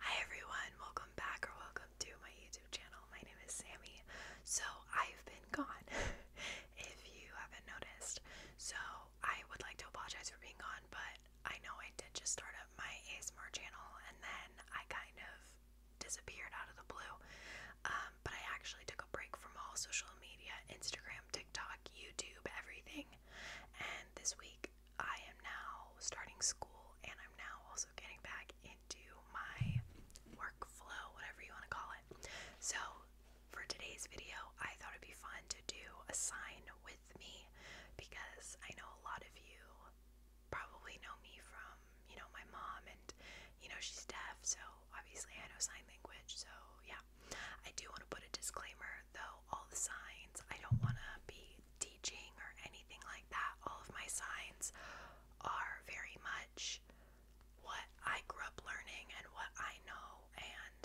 Hi everyone, welcome back or welcome to my YouTube channel. My name is Sammy. So I've been gone, if you haven't noticed. So I would like to apologize for being gone, but I know I did just start up my ASMR channel and then I kind of disappeared out of the blue. Um, but I actually took a break from all social media Instagram, TikTok, YouTube, everything. And this week I am now starting school and I'm now also getting back into my workflow, whatever you want to call it. So, for today's video, I thought it'd be fun to do a sign with me because I know a lot of you probably know me from, you know, my mom and, you know, she's deaf, so obviously I know sign language. So, yeah, I do want to put a disclaimer though, all the signs, I don't want to be teaching or anything like that. All of my signs are very much what I grew up learning and what I know. And,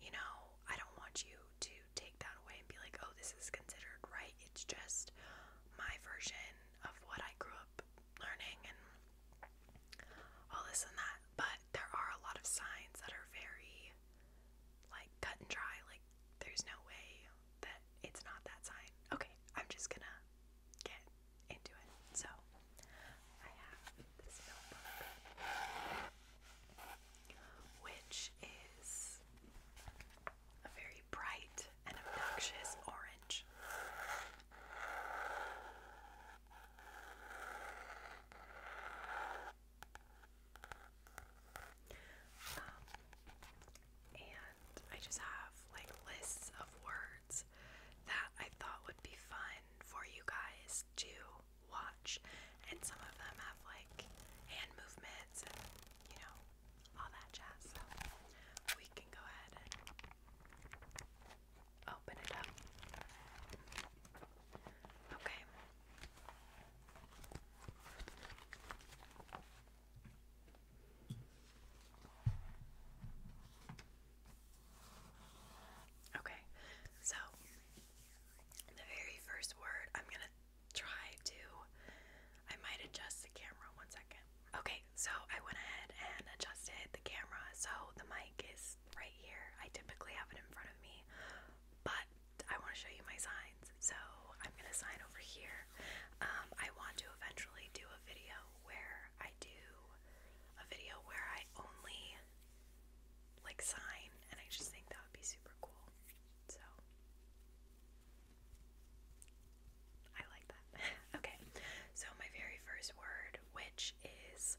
you know, I don't want you to take that away and be like, oh, this is considered right. It's just my version of what I grew up learning and all this and that. But there are a lot of signs that are very, like, cut and dry. Like, there's no way that it's not that sign. Okay, I'm just gonna get into it. So, I have this notebook, which is a very bright and obnoxious orange. Um, and I just have like lists of words that I thought would be fun for you guys to watch, and some of them have like hand movements you know all that jazz. So we can go ahead and open it up. Okay. Okay, so the very first word I'm going to try to. I might adjust the camera one second. Okay, so I went ahead and adjusted the camera. So the mic is right here. I typically have it in front of me, but I want to show you my signs. So I'm going to sign over here. Um, I want to eventually do a video where I do a video where I only like sign, and I just think that would be super cool. So I like that. okay, so my very first word, which is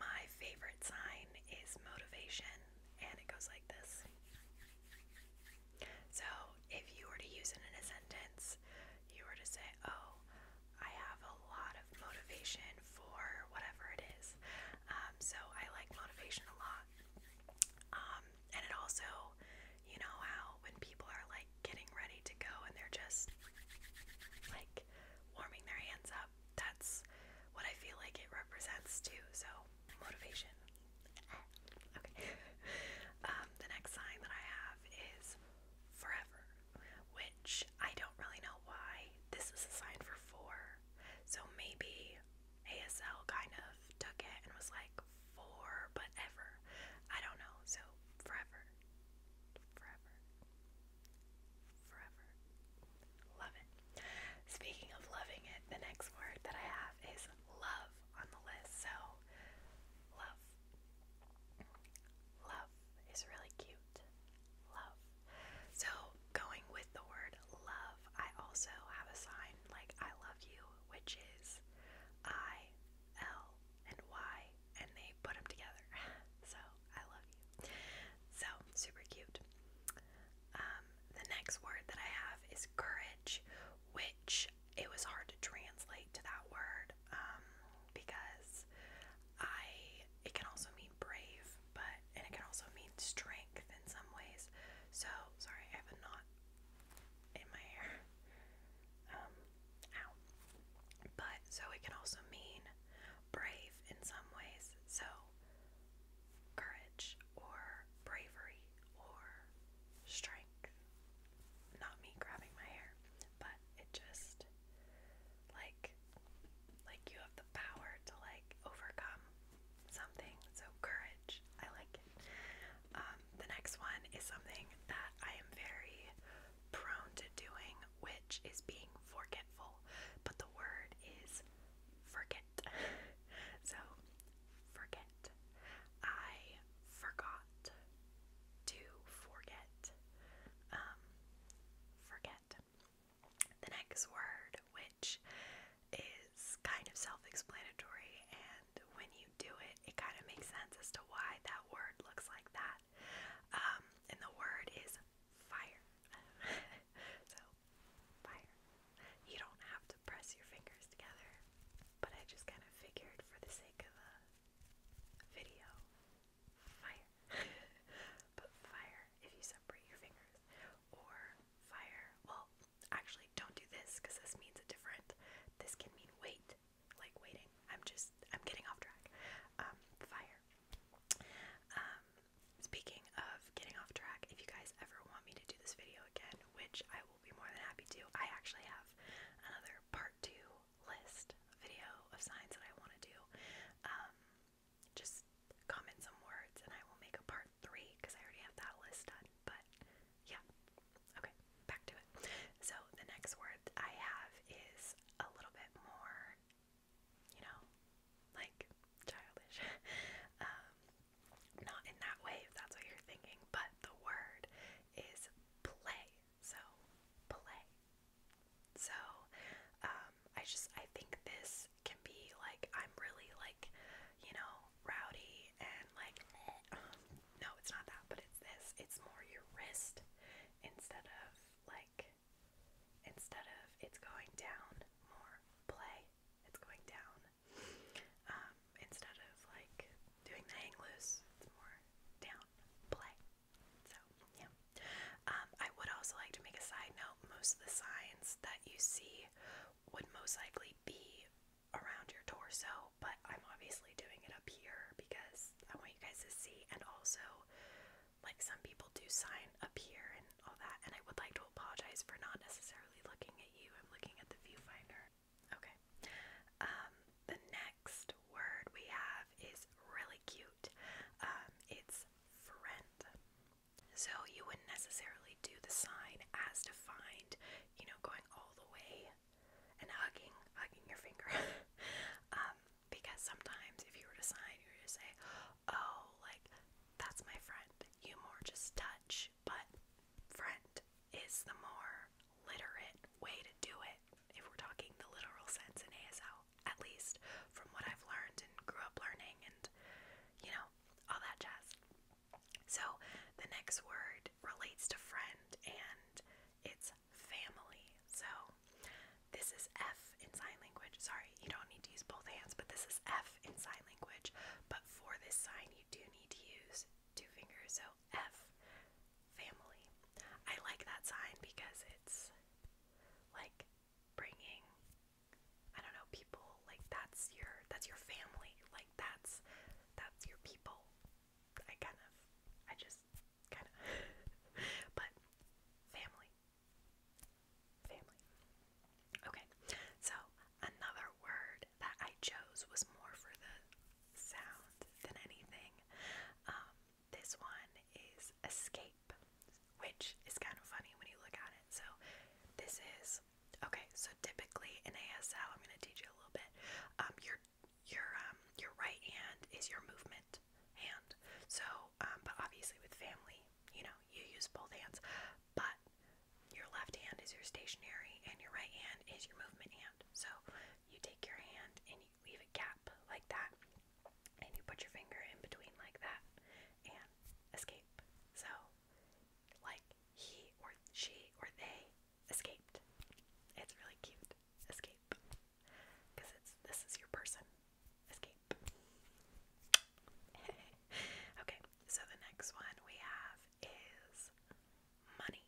my favorite sign, is motivation, and it goes like this. So if you were to use it in a sentence, you were to say, Oh, I have a lot of motivation for whatever it is. Um, so I like motivation a lot. Um, and it also, you know, how when people are like getting ready to go and they're just like warming their hands up, that's what I feel like it represents too. So, motivation okay. Um, the next sign that I have is forever, which I don't really know why. This is a sign for four. So maybe ASL kind of took it and was like four, but ever. I don't know. So forever. Forever. Forever. Love it. Speaking of loving it, the next word that I have is love on the list. So, love. Love is really cute. Love. So, going with the word love, I also have a sign like I love you, which is I, L, and Y, and they put them together. so, I love you. So, super cute. Um, the next word that I have is courage, which it was hard to translate to that word um, because I it can also mean brave, but and it can also mean strength in some ways. So sorry, I have a knot in my hair. Um, ow. But so it can also mean brave in some ways. So courage or bravery or strength. Not me grabbing my hair, but it just like like you have the power to like overcome something. So courage, I like it. Um, the next one is something that I am very prone to doing, which is being forgetful. But the word is forget so, forget. I forgot to forget. Um, forget. The next word, which is kind of self explanatory, and when you do it, it kind of makes sense as to why that word looks like that. Um, and the word is fire. so, fire. You don't have to press your fingers together, but I just kind of figured for the sake of the video, fire. but fire if you separate your fingers, or fire. Well, actually, don't do this because this means a different. This can mean wait, like waiting. I'm just I'm getting off track. Um, fire. Um, speaking of getting off track, if you guys ever want me to do this video again, which I be more than happy to. I actually have another part two list video of signs that I want to do. Um, just comment some words and I will make a part three because I already have that list done. But yeah, okay, back to it. So the next word I have is a little bit more, you know, like childish. Um, not in that way, if that's what you're thinking, but the word is play. So, play. So, um, I just, I think this can be like, I'm really like, you know, rowdy and like, no, it's not that, but it's this. It's more your wrist instead of like, instead of it's going down more play, it's going down um, instead of like doing the hang loose, it's more down, play. So, yeah. Um, I would also like to make a side note most of the signs that you see would most likely be around your torso, but I'm obviously doing it up here because I want you guys to see. And also, like some people do sign up here and all that. And I would like to apologize for not necessarily looking at you, I'm looking at the viewfinder. Okay. Um, the next word we have is really cute. Um, it's friend. So you wouldn't necessarily do the sign as defined, you know, going all the way and hugging, hugging your finger. Um, because sometimes if you were to sign, you would say, oh, like, that's my friend. You more just touch, but friend is the more literate way to do it, if we're talking the literal sense in ASL, at least from what I've learned and grew up learning and, you know, all that jazz. So the next word relates to friend and it's family. So this is F in sign language. Sorry, you don't need to use both hands, but this is F in sign language. But for this sign, you do need to use two fingers, so F family. I like that sign because it's like bringing I don't know people like that's your that's your family like that's that's your people. I kind of I just kind of but family family. Okay. So another word that I chose was more for the sound than anything. Um, this one is escape, which is kind of funny when you look at it. So, this is okay. So typically in ASL, I'm going to teach you a little bit. Um, your your um, your right hand is your movement hand. So, but obviously with family, you know, you use both hands. But your left hand is your stationary and your right hand is your movement hand. So you take your hand and you leave a gap like that, and you put your finger in between like that and escape. So, like he or she or they escaped. It's really cute. Escape. Because it's this is your person. Escape. okay, so the next one we have is money.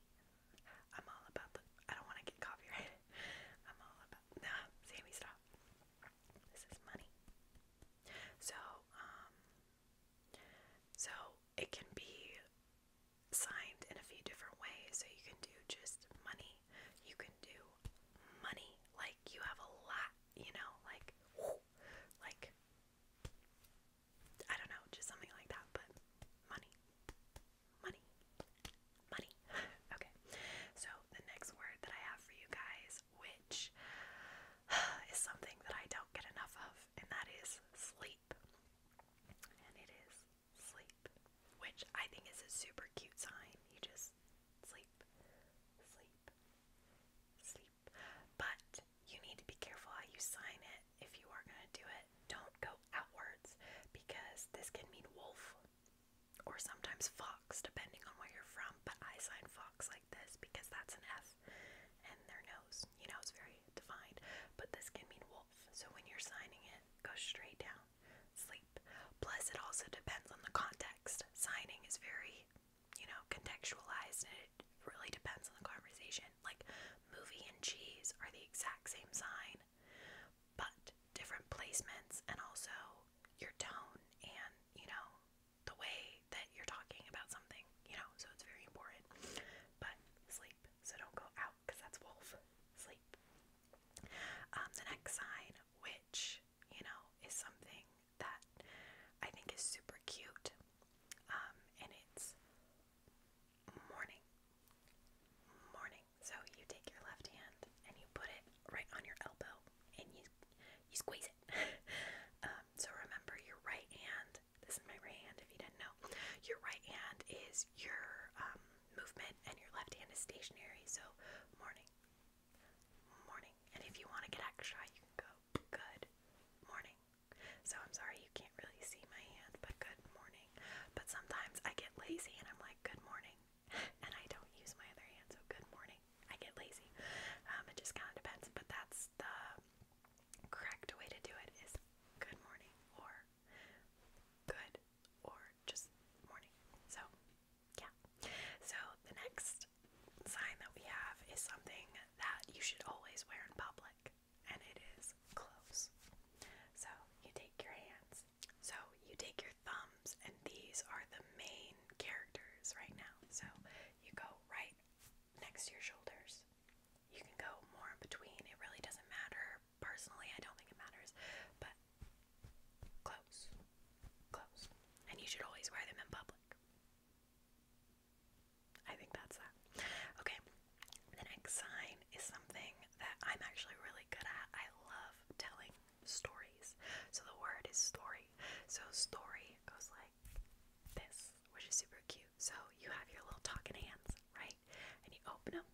I'm all about the. I don't want to get copyrighted. I'm all about. Nah, Sammy, stop. This is money. So, um, so it can be signed in a few different ways. So you can do just money. You can do money like you have a lot, you know, like, like I don't know, just something like that, but money. Money. Money. okay. So the next word that I have for you guys, which is something that I don't get enough of, and that is sleep. And it is sleep, which I think is a super cute sign. You just sleep, sleep, sleep. But you need to be careful how you sign it if you are going to do it. Don't go outwards because this can mean wolf or sometimes fox, depending on where you're from. But I sign fox like this because that's an F and their nose, you know, it's very defined. But this can mean wolf. So when you're signing it, go straight down, sleep. Plus, it also depends on the context. Signing is very, you know, contextualized it really depends on the conversation. Like, movie and cheese are the exact same sign, but different placements and also your tone and, you know, the way that you're talking about something, you know, so it's very important. But sleep, so don't go out because that's wolf. Sleep. Um, the next sign, which, you know, is something that I think is super cute, um, and it's morning. Morning. So you take your left hand and you put it right on your elbow and you you squeeze it. Um, so remember your right hand. This is my right hand. If you didn't know, your right hand is your um, movement and your left hand is stationary. So morning, morning. And if you want to get extra, you can go good morning, so I'm sorry you can't really see my hand, but good morning. But sometimes I get lazy and I'm like, good morning. And I don't use my other hand, so good morning. I get lazy. Um, it just kind of depends, but that's the correct way to do it is good morning or good or just morning. So, yeah. So, the next sign that we have is something that you should always wear in public and it is close. So you take your hands. So you take your thumbs, and these are the main characters right now. So you go right next to your shoulders. You can go more in between. It really doesn't matter. Personally, I don't think it matters, but close, close. And you should always wear them in public. I think that's that. Okay, the next sign is something that I'm actually really good at. I love telling stories. So the word is story. So story goes like this, which is super cute. So you have your little talking hands, right? And you open them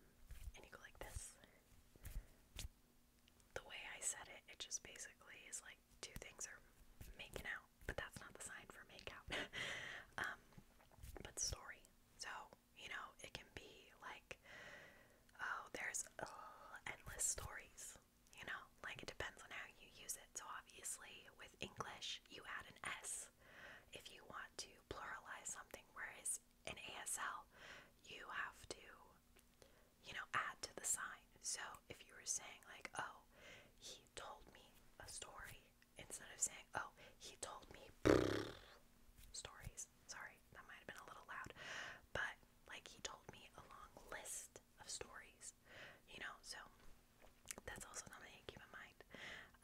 and you go like this. The way I said it, it just basically is like two things are making out, but that's not the sign for make out. um, but story. So, you know, it can be like, oh, there's uh, endless stories, you know, like it depends on how you use it. So, obviously, with English, you add an S if you want to pluralize something, whereas in ASL, you have to, you know, add to the sign. So, if you were saying, like, oh, he told me a story, instead of saying, oh, he told me stories. Sorry, that might have been a little loud. But, like, he told me a long list of stories, you know? So, that's also something to keep in mind.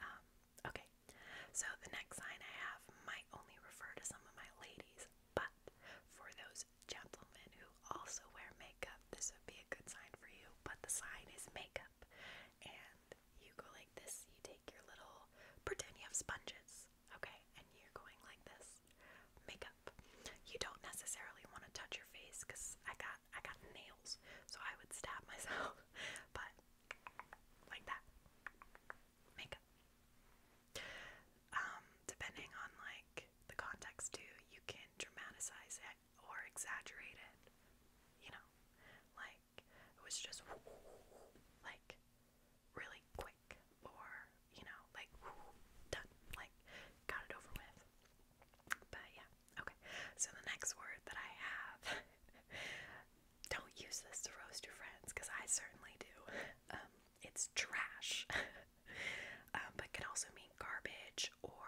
Um, okay, so the next sign I have might only refer to some of my ladies, but for those gentlemen who also wear makeup, this would be a good sign for you. But the sign is makeup, and you go like this. You take your little, pretend you have sponges, okay, and you're going like this. Makeup. You don't necessarily want to touch your face because I got I got nails, so I would stab myself. But like that, makeup. Um, depending on like the context too, you can dramatize it or exaggerate it. You know, like it was just like really quick or you know like done like got it over with but yeah okay so the next word that I have don't use this to roast your friends because I certainly do um, it's trash um, but can also mean garbage or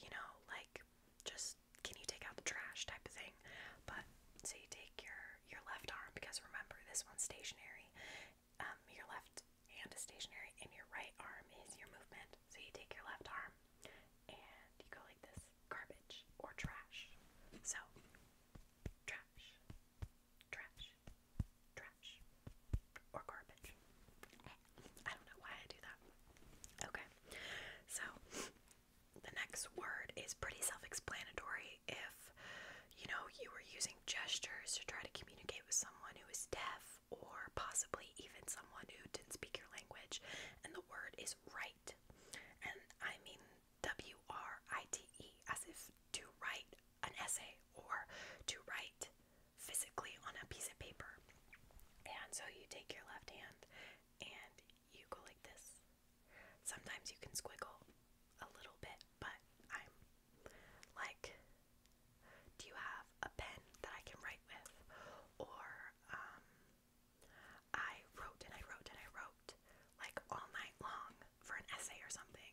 you know like just can you take out the trash type of thing. But so you take your your left arm because remember this one's stationary. Um, your left hand is stationary and your right arm is your movement. So you take your left arm and you go like this garbage or trash. So trash, trash, trash, or garbage. I don't know why I do that. Okay, so the next word is pretty self explanatory. If you know you were using gestures to try to communicate with someone who is deaf or possibly even someone who didn't speak your language, and the word is right. And I mean W R I T E, as if to write an essay or to write physically on a piece of paper. And so you take your left hand and you go like this. Sometimes you can squiggle a little bit, but I'm like, do you have a pen that I can write with? Or, um, I wrote and I wrote and I wrote like all night long for an essay or something.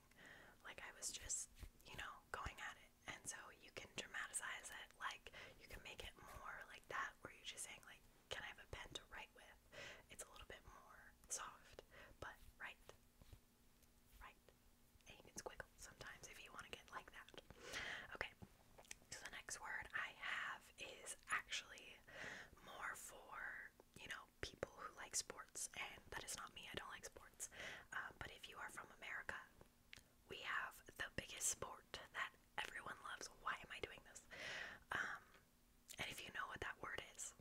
Like, I was just, you know, going at it. And so you can dramatize it, like, you can make it more like that, where you're just saying, like, can I have a pen to write with? It's a little bit more soft, but write. Write. And you can squiggle sometimes if you want to get like that. Okay, so the next word I have is actually more for, you know, people who like sports, and that is not me, I don't like sports. Uh, but if you are from America, we have the biggest sport that everyone loves. Why am I doing this? Um, and if you know what that word is,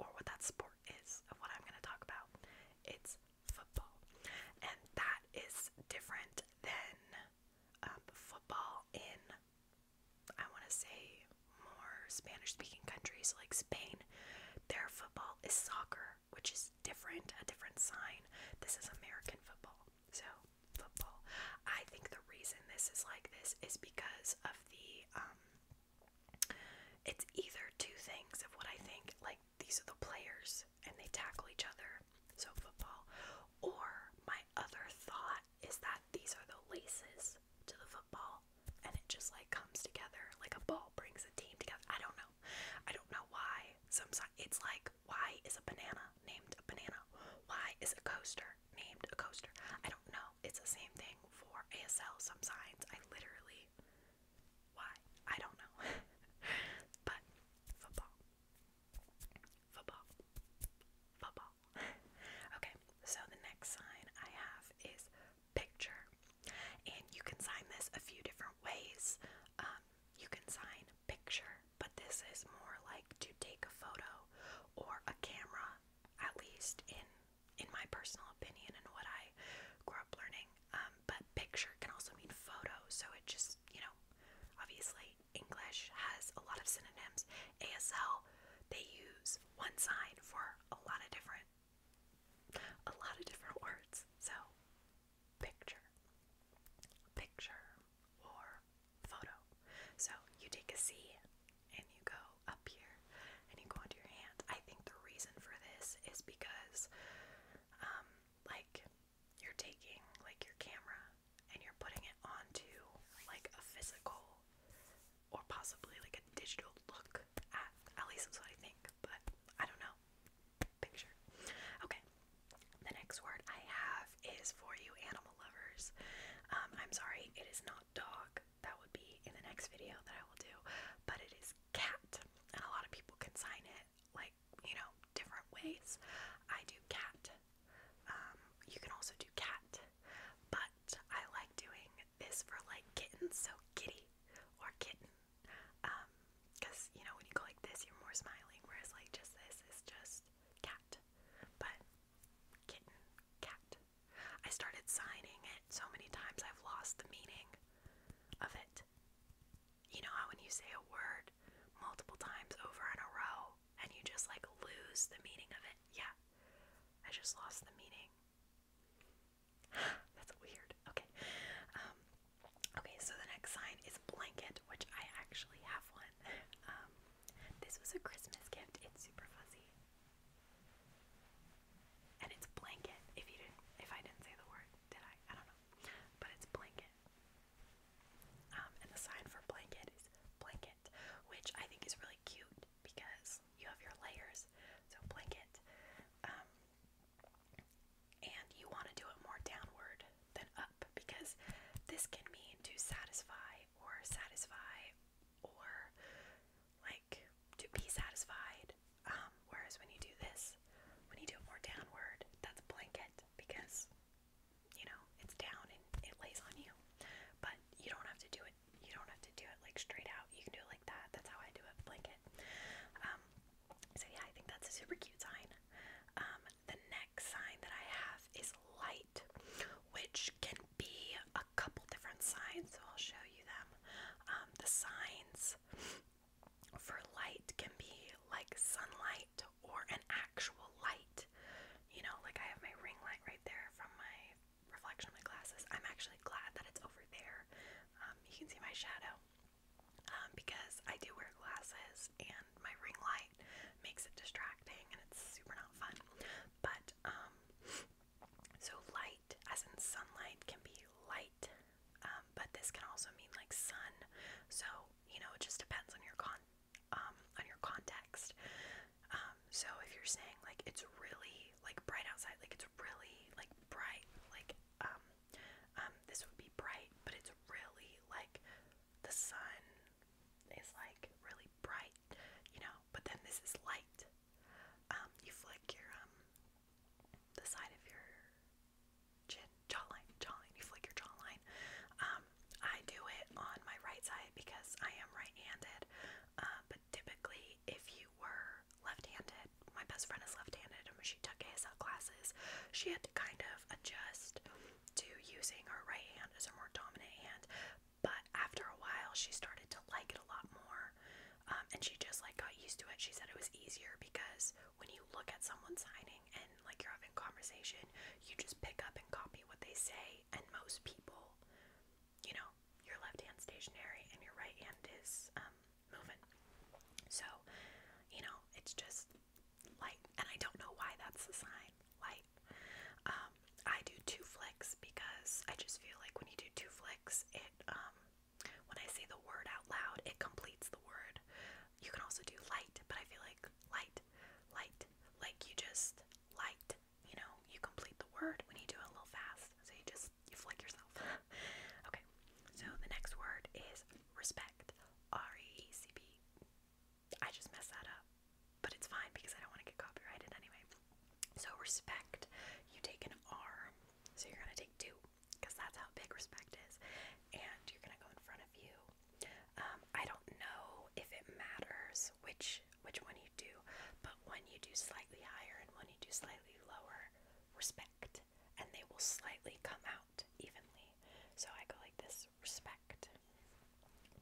or what that sport is, of what I'm going to talk about, it's football. And that is different than um, football in, I want to say, more Spanish speaking countries like Spain. Their football is soccer, which is different, a different sign. This is American football. So football. I think the reason this is like this is because of the um it's either two things of what I think, like these are the players and they tackle each other, so football. Or my other thought is that these are the laces to the football and it just like comes together like a ball brings a team together. I don't know. I don't know why. Sometimes it's like why is a banana named a banana? Why is a coaster named a coaster? I don't know. It's the same thing for ASL, some signs. I literally. Why? I don't know. but football. Football. Football. okay, so the next sign I have is picture. And you can sign this a few different ways. Um, you can sign picture, but this is more like to take a photo or a camera, at least in in my personal opinion and what I grew up learning. Um, but picture can also mean photo, so it just you know, obviously English has a lot of synonyms. ASL they use one sign for a lot of different a lot of different words. So picture, picture, or photo. So you take a C and you go up here and you go onto your hand. I think the reason for this is because, um, like, you're taking like your camera and you're putting it onto like a physical or possibly like a digital look at. At least that's what I think, but I don't know. Picture. Okay, the next word I have is for you animal lovers. Um, I'm sorry, it is not dog. That would be in the next video that I will do, but it is cat. And a lot of people can sign it like, you know, different ways. I do cat. Um, you can also do cat, but I like doing this for like kittens, so kitty or kitten. because um, you know, when you go like this, you're more smiling, whereas like just this is just cat. But kitten, cat. I started signing it so many times I've lost the meaning of it. You know how when you say a word multiple times over in a row and you just like lose the meaning of it? Yeah. I just lost the meaning. That's weird. Okay. Um, okay, so the next sign is blanket, which I actually have one. Um, this was a Christmas gift. It's super fuzzy. And it's blanket. If you didn't if I didn't say the word, did I? I don't know. But it's blanket. Um, and the sign for blanket is blanket, which I think is really cute because you have your layers. So blanket. Um and you want to do it more downward than up because this can mean to satisfy or satisfy or like to be satisfied. Um, whereas when you do this, when you do it more downward, that's blanket because you know it's down and it lays on you. But you don't have to do it. You don't have to do it like straight out. You can do it like that. That's how I do it, blanket. Um, so yeah, I think that's a super cute sign. Um, the next sign that I have is light, which can be a couple different signs, so I'll show you them. Um, the signs for light can be like sunlight or an actual light. You know, like I have my ring light right there from my reflection of my glasses. I'm actually glad that it's over there. Um, you can see my shadow because I do wear glasses and my ring light makes it distracting and it's super not fun. But um, so light as in sunlight can be light um, but this can also mean like sun. So, you know, it just depends on your con um, on your context. so if you're saying like it's really like bright outside, like it's really like bright, like this would be bright, but it's really like the sun it's like really bright, you know, but then this is light. Um, you flick your um the side of your chin, jawline, jawline, you flick your jawline. Um, I do it on my right side because I am right-handed. Uh, but typically if you were left-handed, my best friend is left-handed and when she took ASL classes, she had to kind of adjust to using her right hand as her more dominant hand. But after a while, she started to like it a lot more. Um, and she just like got used to it. She said it was easier because when you look at someone signing and like you're having conversation, you just pick up and copy what they say. And most people, you know, your left hand stationary and your right hand is um, moving. So, you know, it's just light, and I don't know why that's the sign, light. Um, I do two flicks because I just feel like when you do two flicks, it, um, when I say the word out loud, it completes the word. You can also do light, but I feel like light, light, like you just light, you know, you complete the word when you do it a little fast. So you just, you flick yourself. okay, so the next word is respect. R E E C P I just messed that up. But it's fine because I don't want to get copyrighted anyway. So, respect, you take an R, so you're going to take two because that's how big respect is. And you're going to go in front of you. Um, I don't know if it matters which which one you do, but when you do slightly higher and when you do slightly lower, respect, and they will slightly come out evenly. So I go like this, Respect.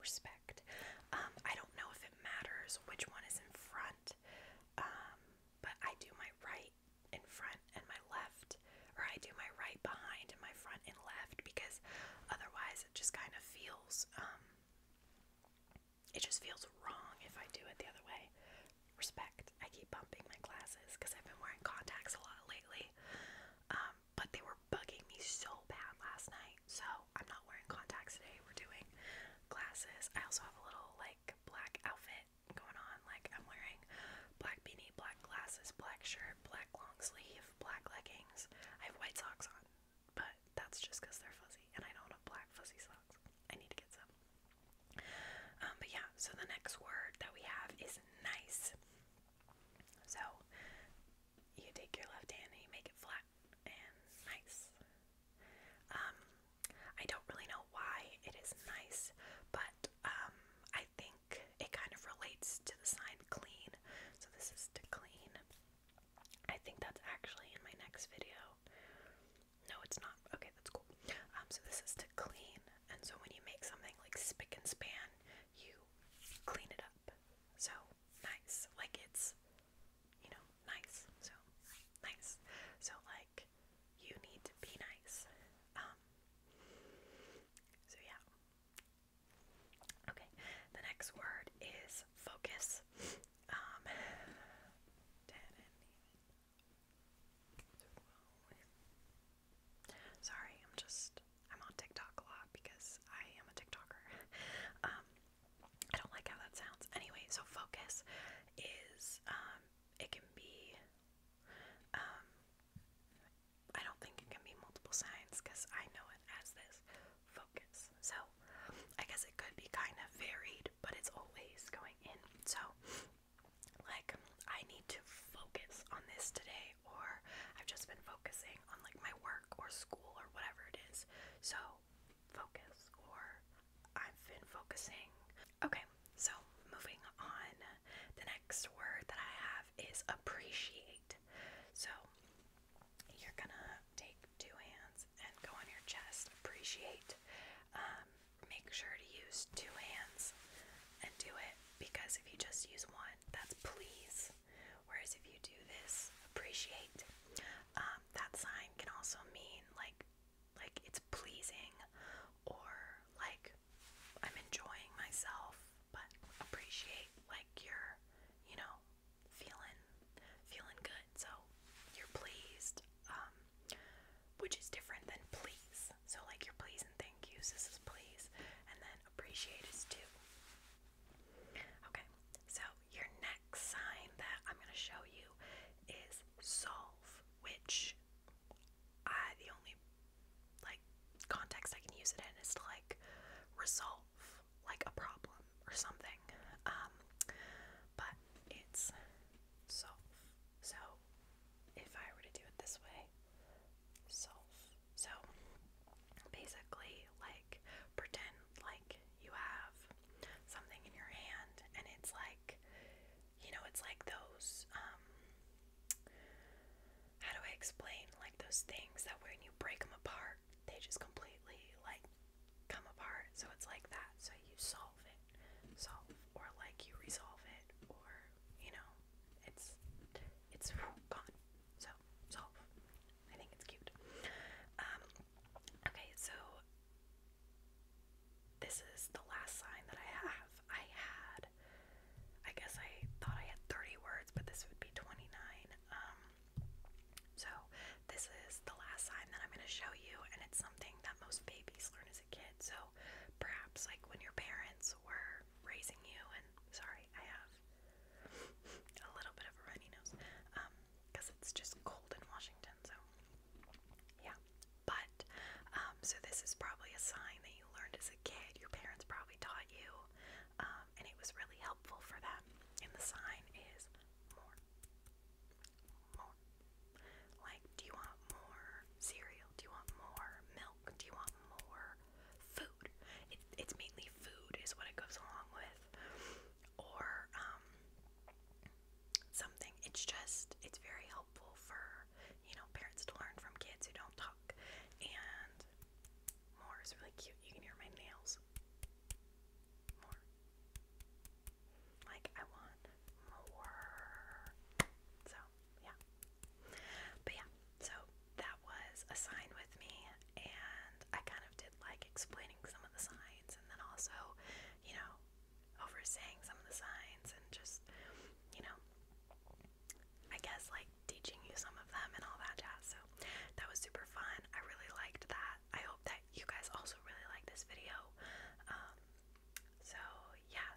Respect. Um, I don't know if it matters which one is in front, um, but I do my right in front and my left, or I do my right behind and my front and left because otherwise it just kind of feels, um, it just feels wrong if I do it the other way. Respect. I keep bumping my glasses because I've been wearing contacts a lot lately. Um, but they were bugging me so bad last night. So I'm not wearing contacts today. We're doing glasses. I also have a little like black outfit going on. Like I'm wearing black beanie, black glasses, black shirt, black long sleeve, black leggings. I have white socks on, but that's just because they're fuzzy and I don't have black fuzzy socks. I need to get some. Um, but yeah, so the next word that we have is nice. So you take your left hand and you make it flat and nice. Um, I don't really know why it is nice, but um, I think it kind of relates to the sign clean. So this is to clean. I think that's actually in my next video. No, it's not. Okay, that's cool. Um, so this is to clean, and so when you make something like spick and span, you clean it up. So nice. Like it's you know, nice. So nice. So like you need to be nice. Um so yeah. Okay, the next word is focus. Um ten and Sorry, I'm just I'm on TikTok a lot because I am a TikToker. Um, I don't like how that sounds. Anyway, so focus is um, it can be. Um, I don't think it can be multiple signs because I know it as this focus. So I guess it could be kind of varied, but it's always going in. So, like, I need to focus on this today, or I've just been focusing on like my work or school or whatever it is. So, focus, or I've been focusing. Okay, so moving on, the next word that I have is appreciate. So, you're gonna take two hands and go on your chest, appreciate. Um, make sure to use two hands and do it because if you just use one, that's please. Whereas if you do this, appreciate, um, that sign can also mean like, like it's pleasing, or like I'm enjoying myself, but appreciate like you're, you know, feeling, feeling good. So you're pleased, um, which is different than please. So like you're please and thank you. This is please, and then appreciate is too. Okay, so your next sign that I'm going to show you is solve, which I the only like context I can use it in is to like resolve like a problem or something. Um, but it's solve. So if I were to do it this way, solve so basically, like, pretend like you have something in your hand and it's like, you know, it's like those, um, how do I explain? Like those things that when you break them apart, they just completely like come apart. So it's like that. So you solve it, solve, or like you resolve it, or you know, it's it's gone. So solve. I think it's cute. Um, okay, so this is the last sign that I have. I had, I guess I thought I had 30 words, but this would be 29. Um, so this is the last sign that I'm going to show you, and it's something that most babies learn as a kid. So perhaps like when your parents were raising you, and sorry, I have a little bit of a runny nose because um, it's just cold in Washington. So, yeah. But, um, so this is probably a sign that you learned as a kid. Your parents probably taught you, um, and it was really helpful for them. And the sign is more. More. Like, do you want more cereal? Do you want more milk? Do you want more food? It, it's mainly food, is what it goes along with or um, something. It's just, it's very helpful for, you know, parents to learn from kids who don't talk. And more is really cute. You can hear my nails. More. Like, I want more. So, yeah. But yeah, so that was a sign with me, and I kind of did like explaining some of the signs, and then also, you know, overseeing some of the signs, and just, you know, I guess like teaching you some of them and all that jazz. So that was super fun. I really liked that. I hope that you guys also really liked this video. Um, so yeah,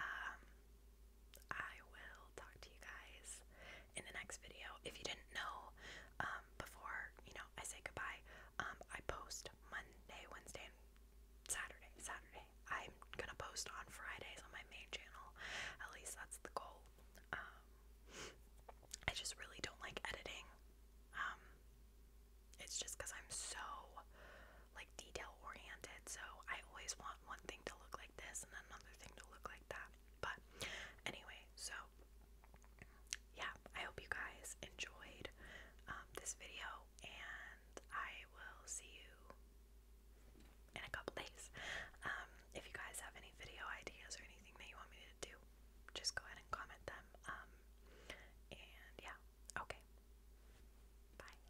um, I will talk to you guys in the next video. If you didn't know, um, before you know, I say goodbye. Um, I post Monday, Wednesday, and Saturday. Saturday. I'm gonna post on Fridays on my main channel. At least that's the goal. Um, I just really don't like editing. it's just because I'm so like detail oriented. So I always want one thing to look like this and another thing to look like that. But anyway, so yeah, I hope you guys enjoyed um, this video, and I will see you in a couple days. Um, if you guys have any video ideas or anything that you want me to do, just go ahead and comment them. Um, and yeah, okay. Bye.